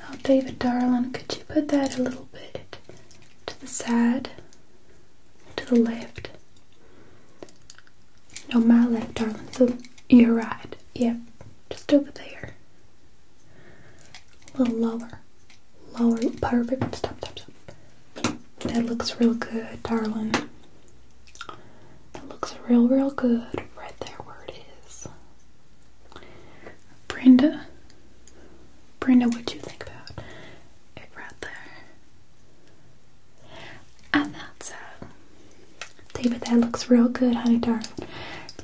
Oh, David darling, could you put that a little bit to the side, to the left? No, my left, darling. So you're right. Yep, just over there a little lower. Lower, perfect. Stop, stop, stop. That looks real good, darling. That looks real, real good. Right there where it is. Brenda, Brenda, what do you think about it right there? I thought so. David, that looks real good, honey, darling.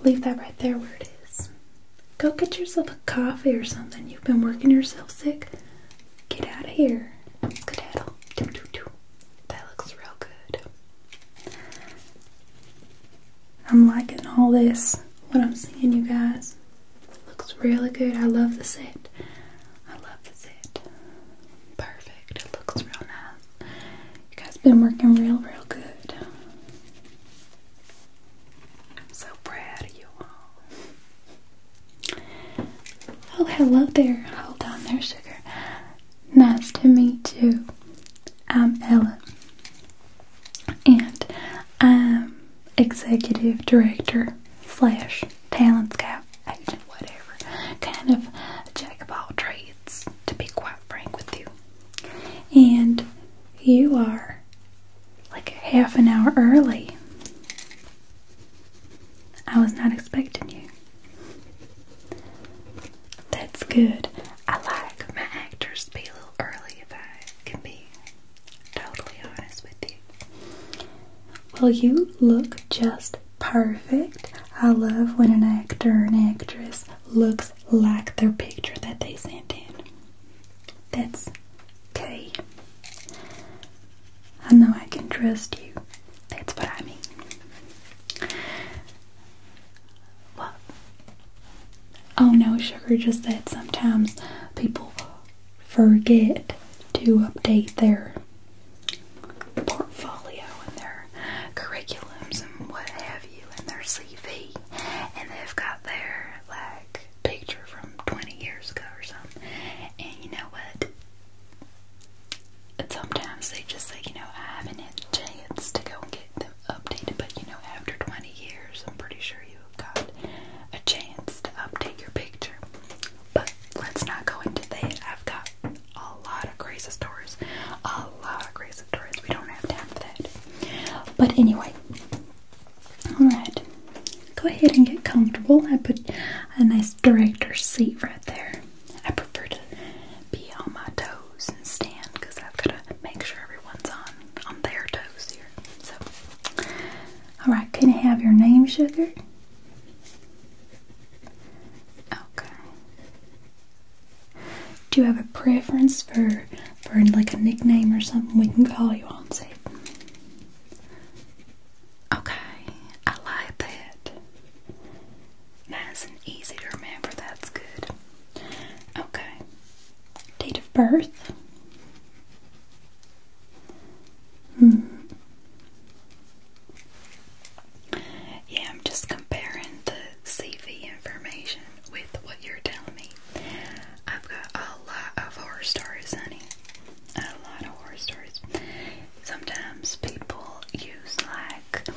Leave that right there where it is. Go get yourself a coffee or something. You've been working yourself sick. Get out of here. That looks real good. I'm liking all this, what I'm seeing, you guys. Looks really good. I love the set. I love the set. Perfect. It looks real nice. You guys been working real, real good so proud of you all. Oh, hello there. Hold on there, sugar. Nice to meet you. I'm Ella, and I'm executive director slash talent scout agent, whatever. Kind of jack of all trades, to be quite frank with you. And you are like half an hour early. I was not expecting you. That's good. I like my actors to be a little early if I can be totally honest with you. Well, you look just perfect. I love when an actor or an actress looks like their picture that they sent in. That's okay. I know I can trust you. That's what I mean. Oh no, sugar, just that sometimes people forget to update their portfolio and their curriculums and what have review and their CV, and they've got their like picture from 20 years ago or something. And you know what? sometimes they just say, you know, I haven't had a chance to go and get them updated, but you know, after 20 years, I'm pretty sure you have got a chance to update your picture. But let's not go into that. I've got a lot of crazy stories, a lot of crazy stories. We don't have time for that. But anyway, Alright, go ahead and get comfortable. I put a nice director seat right there. I prefer to be on my toes and stand because I've got to make sure everyone's on, on their toes here. So, alright, can I have your name, sugar? Okay. Do you have a preference for for like a nickname or something we can call you on Say, Okay, I like that. Nice easy to remember, that's good. Okay. Date of birth. Hmm. Yeah, I'm just comparing the CV information with what you're telling me. I've got a lot of horror stories, honey. A lot of horror stories. Sometimes people use like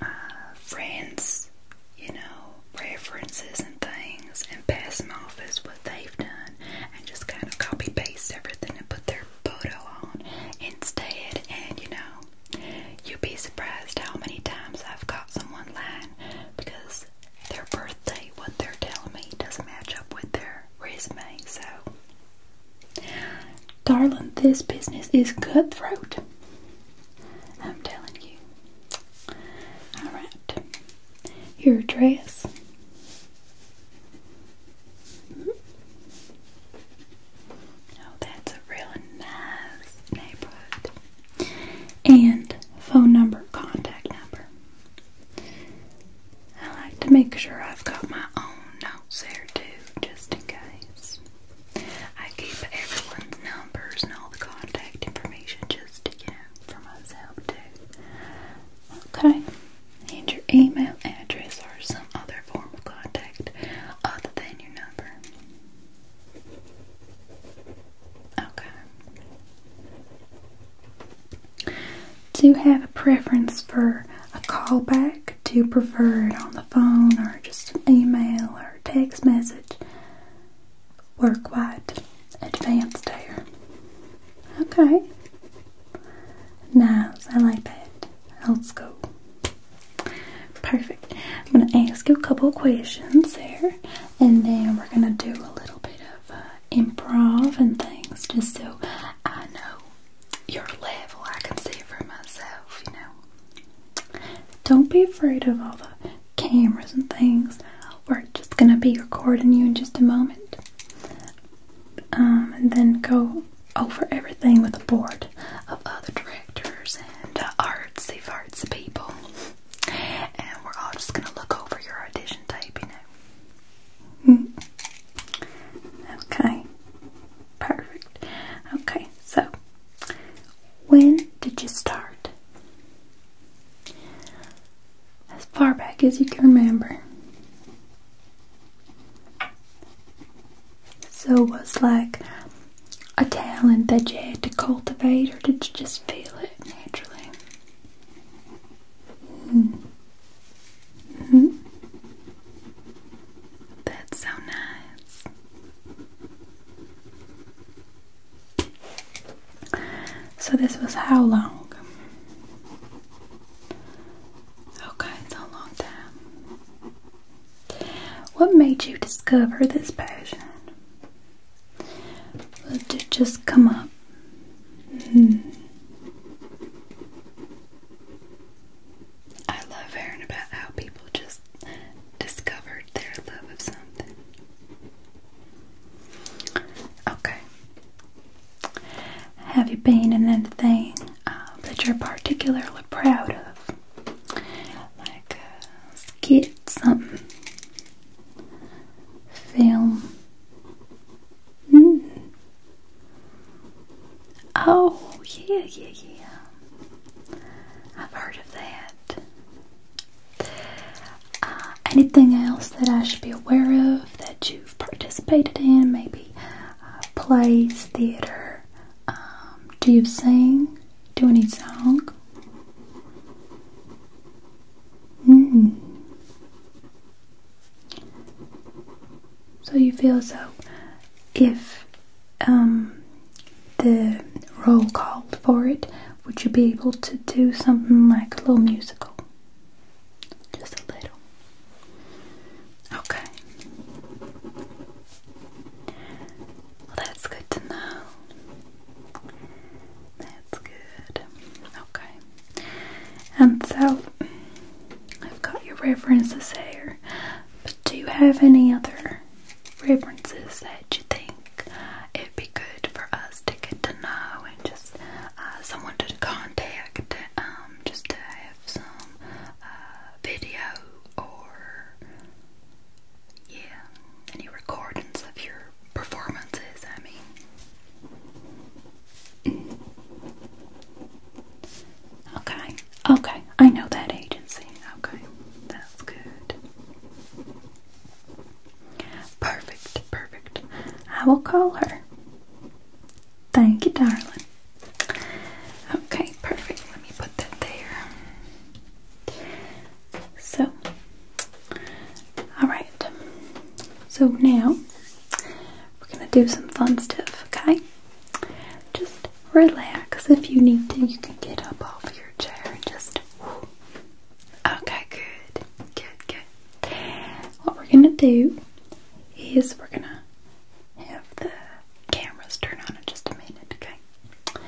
uh, friends, you know, references and things, and pass them off as what they've done, and just kind of copy paste everything and put their photo on instead. And you know, you'd be surprised how many times I've caught someone lying because their birthday, what they're telling me, doesn't match up with their resume. So, darling, this business is cutthroat. I'm telling you. Alright, your address. Oh, that's a really nice neighborhood and phone number, contact number. I like to make sure I've got my own notes there too, just in case. I keep everyone's numbers and all the contact information just, you know, for myself too. Okay, and your email address or some other form of contact other than your number. Okay. Do you have a preference for a callback? Do you prefer it on the phone or just an email or text message? We're advanced here. Okay. Nice, I like that. Let's go. Perfect. I'm going to ask you a couple questions there, and then we're going to do a little bit of uh, improv and things just so I know your level. I can see for myself, you know. Don't be afraid of all the cameras and things. We're just going to be recording you in just a moment. Um, and then go over everything with a board of other directors and uh, artsy fartsy people and we're all just gonna look over your audition tape, you know. Mm-hmm. okay, perfect. Okay, so when did you start? As far back as you can remember. So it was like a talent that you had to cultivate, or did you just feel it naturally? Mm. -hmm. That's so nice. So, this was how long? Okay, it's a long time. What made you discover this passion? Well, did just come up? Hmm. I love hearing about how people just discovered their love of something. Okay. Have you been in anything um, that you're particularly proud of? Like a uh, skit some film. Mm. Oh, yeah, yeah, yeah. I've heard of that. Uh, anything else that I should be aware of that you've participated in? Maybe plays, theater, um, do you sing? Do any song? Hmm. So you feel so if um the role called for it, would you be able to do something like a little musical? Just a little. Okay. Well, that's good to know. That's good. Okay. And so I've got your references here. But do you have any other references that you think it'd be good for us to get to know and just uh, someone to contact, um, just have some uh, video or yeah, any recordings of your performances, I mean. okay, okay, I know that agency. Okay, that's good. Perfect, perfect. I will call her. Thank you, darling. Okay, perfect. Let me put that there. So, all right. So now we're gonna do some fun stuff, okay? Just relax. If you need to, you can get up off your chair and just. Okay, good, good, good. What we're gonna do is we're gonna have the cameras turn on in just a minute, okay?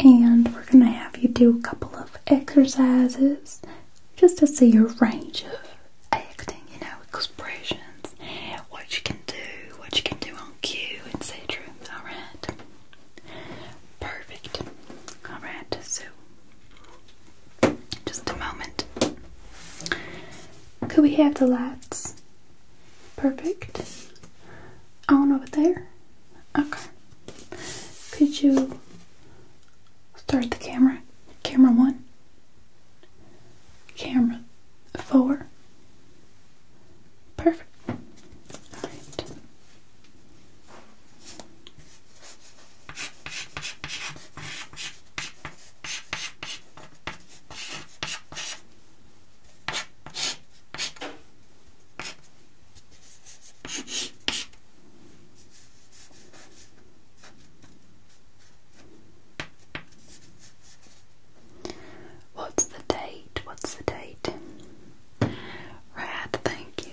and we're going to have you do a couple of exercises just to see your range of acting, you know, expressions, what you can do, what you can do on cue, and etc. Alright? Perfect. Alright, so just a moment. Could we have the lights? Perfect on over there? Okay. Could you start the camera? Camera one, camera four. Perfect. What's the date? What's the date? Right, thank you.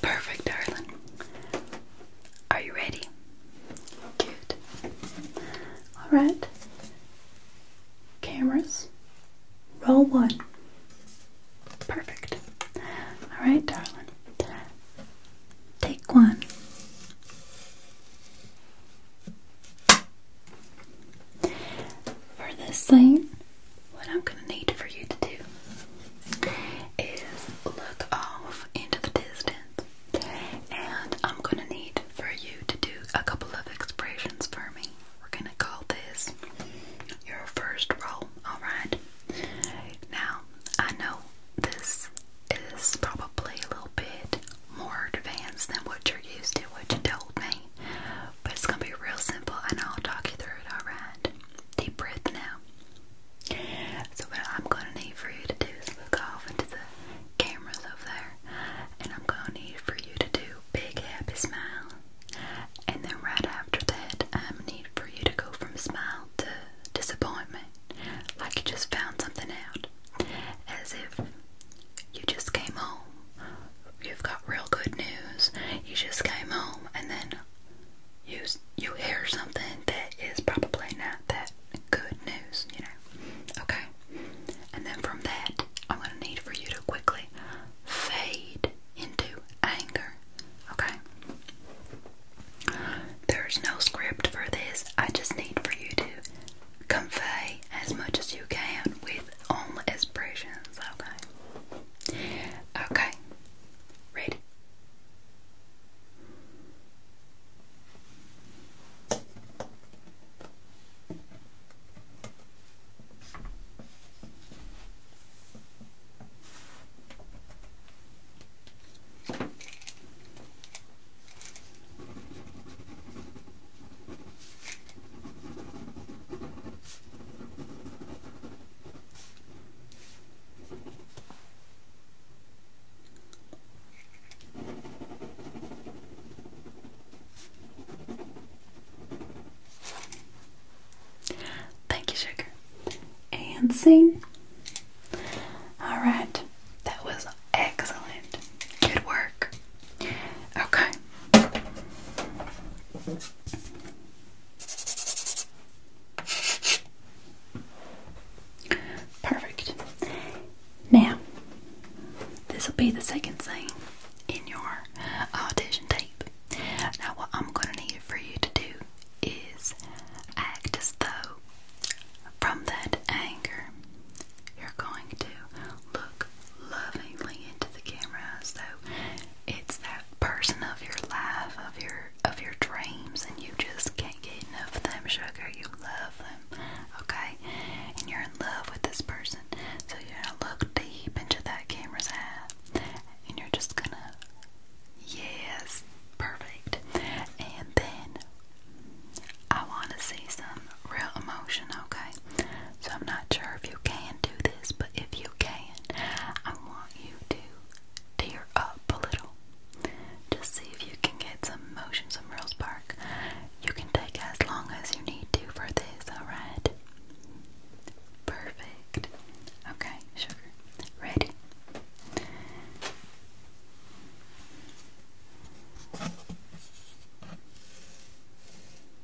Perfect, darling. Are you ready? Good. Alright. Cameras. Roll one. Perfect. Alright, darling. Take one. For this thing, what I'm gonna need for you to do is look off into the distance, and I'm gonna need for you to do a couple of expressions for me. We're gonna call this your first roll, alright? Now, I know this is probably a little bit more advanced than what you're used to, what you told me, but it's gonna be real simple and I'll talk you through it, alright? Deep breath now. So, what I'm gonna need for you to do is look off into the cameras over there, and I'm gonna need for you to do big happy smile. And then, right after that, I'm gonna need for you to go from smile to disappointment, like you just found something out, as if you just came home you've got real good news. You just came home and then you you hear something that is probably not that good news, you know. Okay. And then from that, I'm going to need for you to quickly fade into anger. Okay. There's no script for this. I just need for you to convey as much as you can with only expressions, okay? Okay, read. Thank you, Sugar. And sing. All right, that was excellent. Good work. Okay. Perfect. Now, this will be the second scene in your audition tape. Now, what I'm going to need for you to do is act as though from that anger you're going to look lovingly into the camera as though it's that person of your life, of your of your dreams, and you just can't get enough of them, sugar. You love them, okay? And you're in love with this person. So you're gonna look deep into that camera's eye and you're just gonna Yes, perfect. And then I wanna see some real emotion, okay? So I'm not sure if you can do this, but if you can, I want you to tear up a little. Just see if you can get some motion, some real spark. You can take as long as you need to for this, alright? Perfect. Okay, sugar. Ready?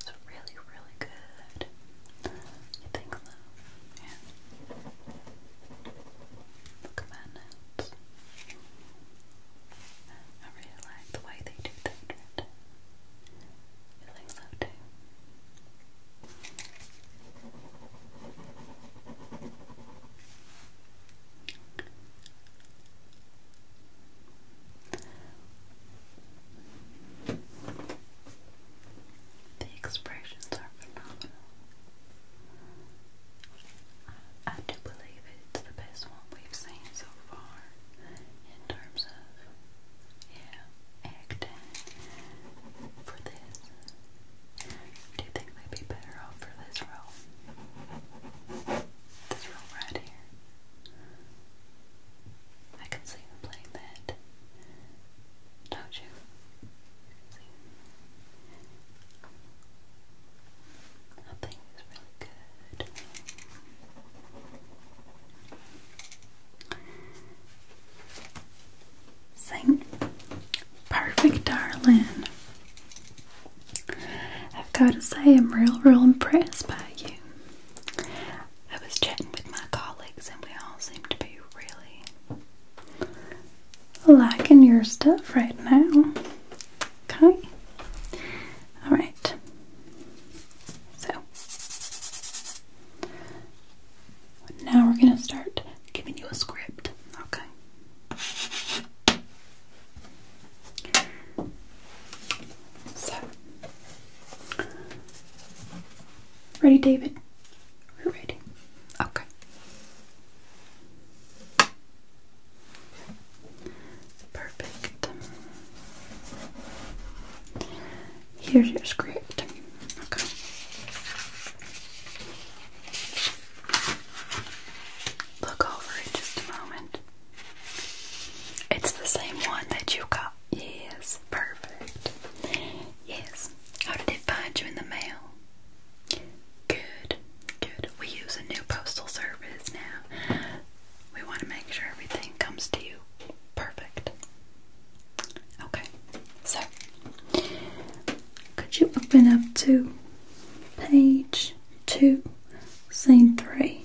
It's really, really good. You think so? Yeah. Look at that I really like the way they do that. The expressions are phenomenal. I do believe it's the best one we've seen so far in terms of yeah, acting for this. Do you think they'd be better off for this role? This role right here. I can see them playing that. Don't you? I think it's really good. Sing. Perfect, darling. I've got to say, I'm real, real impressed by you. I was chatting with my colleagues, and we all seem to be really lacking your stuff right now. Okay. All right. So now we're going to start giving you a script. Okay. So, ready, David? We're ready. Okay. Perfect. Here's your script. Okay. Look over it just a moment. It's the same one that you got. Yes, perfect. Yes. How did it find you in the mail? Good, good. We use a new postal service now. We want to make sure everything comes to you perfect. Okay, so could you open up to page two, scene three?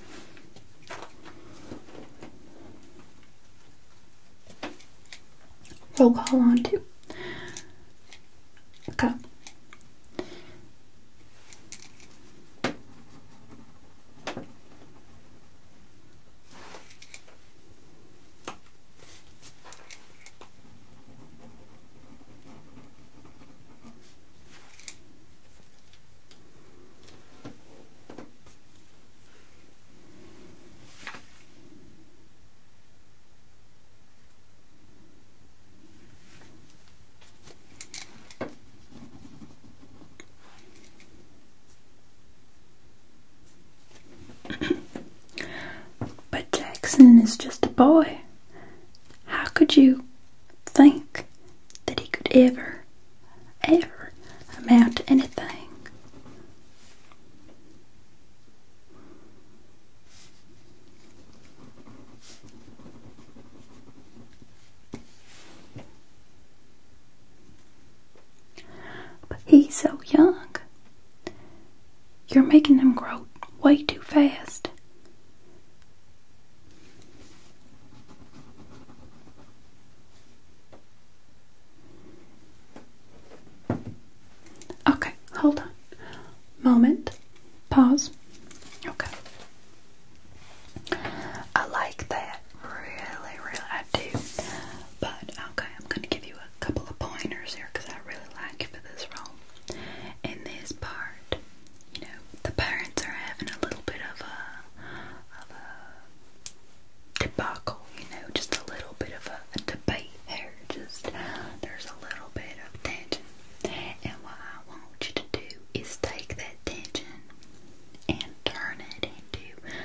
roll call on to. Okay but Jackson is just a boy. How could you think that he could ever, ever amount to anything? But he's so young. You're making him grow way too fast. Okay, hold on. Moment. Pause. Okay. I like that. Really, really, I do. But, okay, I'm going to give you a couple of pointers here because I really like you for this role. In this part, you know, the parents are having a little bit of a, debacle, you know, just a little bit of a debate here. Just there's a little bit of tension, and what I want you to do is take that tension and turn it into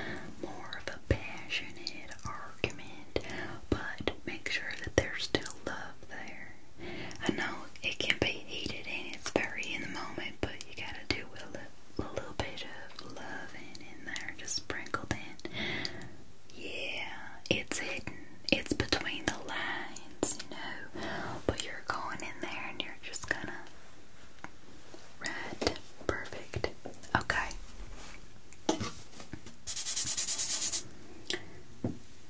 more of a passionate argument, but make sure that there's still love there. I know it can be heated and it's very in the moment, but you gotta do a, little bit of loving in there, just sprinkle in. Yeah, it's hidden. It's between the lines, you know. But you're going in there and you're just gonna. Red. Perfect. Okay.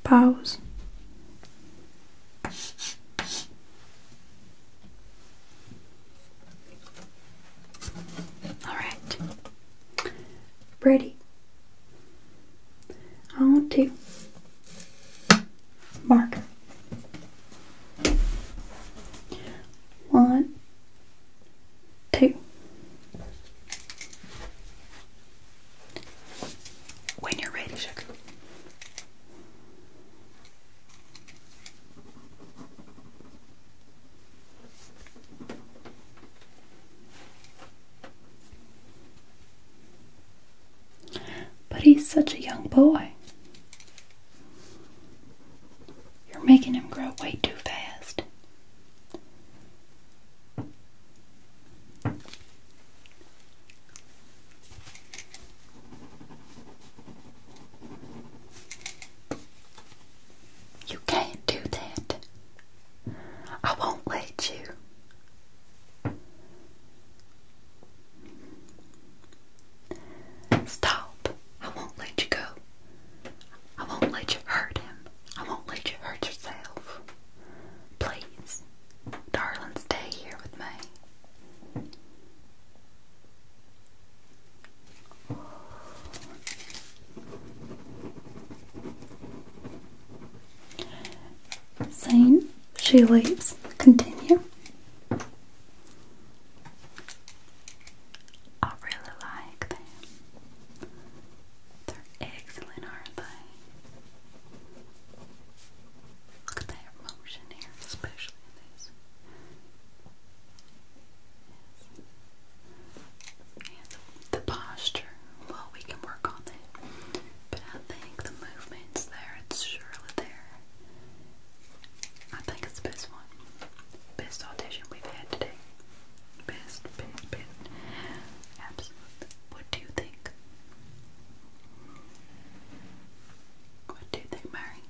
Pause. All right. Brady. On to mark. One, two. When you're ready, sugar. But he's such a young boy. You're making him grow way too fast. You can't do that. I won't let you. Stop. I won't let you go. I won't let you hurt him. I won't let you hurt yourself. Please, darling, stay here with me. Saying she leaves. Continue. I really like them. They're excellent, aren't they? Look at that motion here, especially in this. And the, posture, well, we can work on it, but I think the movement's there, it's surely there. I think it's the best one. Best audition we've had today. Best, best, best. Absolutely. What do you think? What do you think, Mary?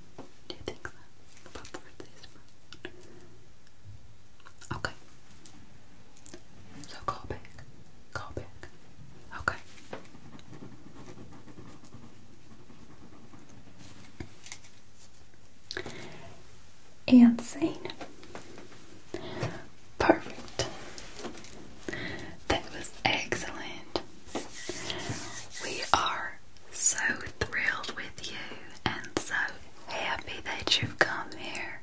Do you think so? What part Okay. So call back. Call back. Okay. And sane. Perfect. That was excellent. We are so thrilled with you and so happy that you've come here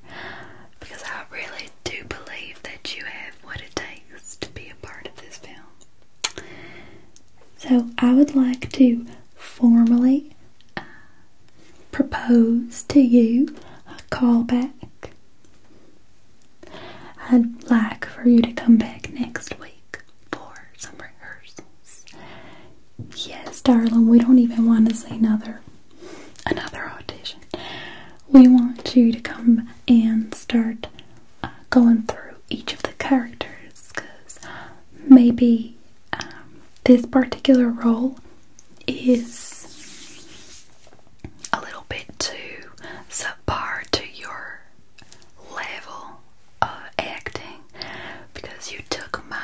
because I really do believe that you have what it takes to be a part of this film. So, I would like to formally uh, propose to you a callback. I'd like for you to come back next week for some rehearsals. Yes, darling, we don't even want to see another another audition. We want you to come and start uh, going through each of the characters because maybe um, this particular role is a little bit too subpar to your level uh, acting because you took my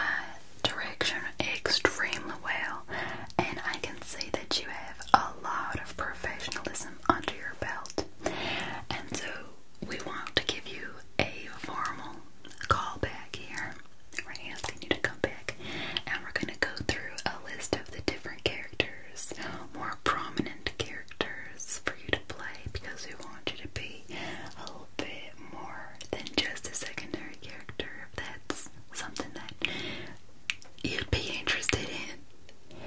direction extremely well, and I can see that you have a lot of professionalism under your belt. And so, we want to give you a formal call back here. We're asking you to come back, and we're going to go through a list of the different characters, more prominent characters for you to play because we want you to be little bit more than just a secondary character if that's something that you'd be interested in.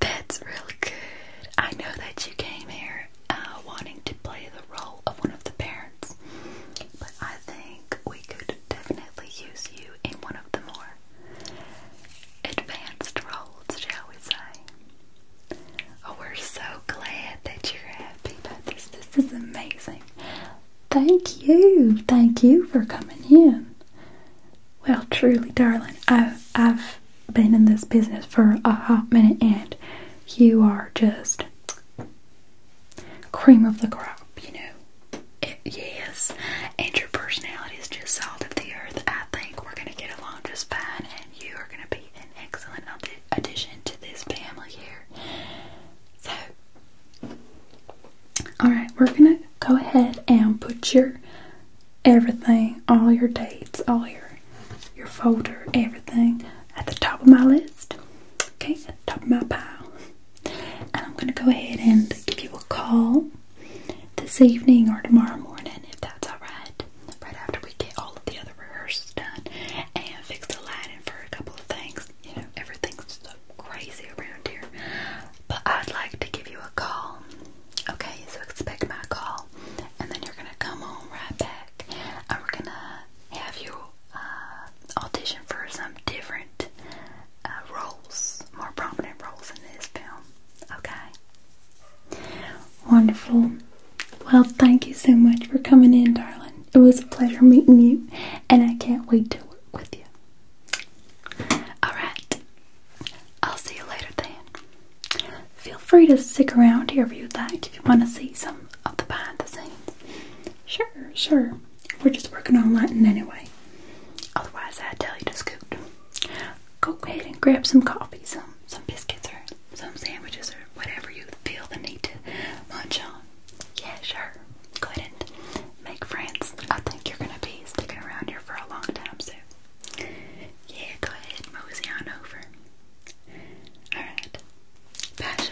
That's really good. I know that you came here uh, wanting to play the role of one of the parents, but I think we could definitely use you in one of the more advanced roles, shall we say. Oh, we're so glad that you're happy about this. This is amazing. Thank you. Thank you for coming in. Well, truly, darling, I've, I've been in this business for a hot minute and you are just cream of the crop, you know. yes, and your personality is just salt of the earth. I think we're going to get along just fine and you are going to be an excellent addition to this family here. So, alright, we're gonna go ahead and put your everything, all your dates, all your your folder, everything at the top of my list. Okay, top of my pile. And I'm gonna go ahead and give you a call this evening or tomorrow morning if that's alright right after we get all of the other rehearsals done, and fix the lighting for a couple of things. You know, everything's so crazy around here. But I'd like to give you a call. Okay, so expect my call, and then you're gonna come home right back, and we're gonna have you uh, audition for some different uh, roles, more prominent roles in this film. Okay, Wonderful. Well, thank you so much for coming in, darling. It was a pleasure meeting you, and I can't wait to work with you. Alright, I'll see you later then. Feel free to stick around here if you'd like, if you want to see some of the behind the scenes. Sure, sure. We're just working on lighting anyway. Otherwise, I'd tell you to scoot. Go ahead and grab some coffee, some, some biscuits, or some sandwiches or whatever you feel the need to munch on. Yeah, sure. Go ahead and make friends. I think you're gonna be sticking around here for a long time, so yeah, go ahead, mosey on over. Alright. Bye,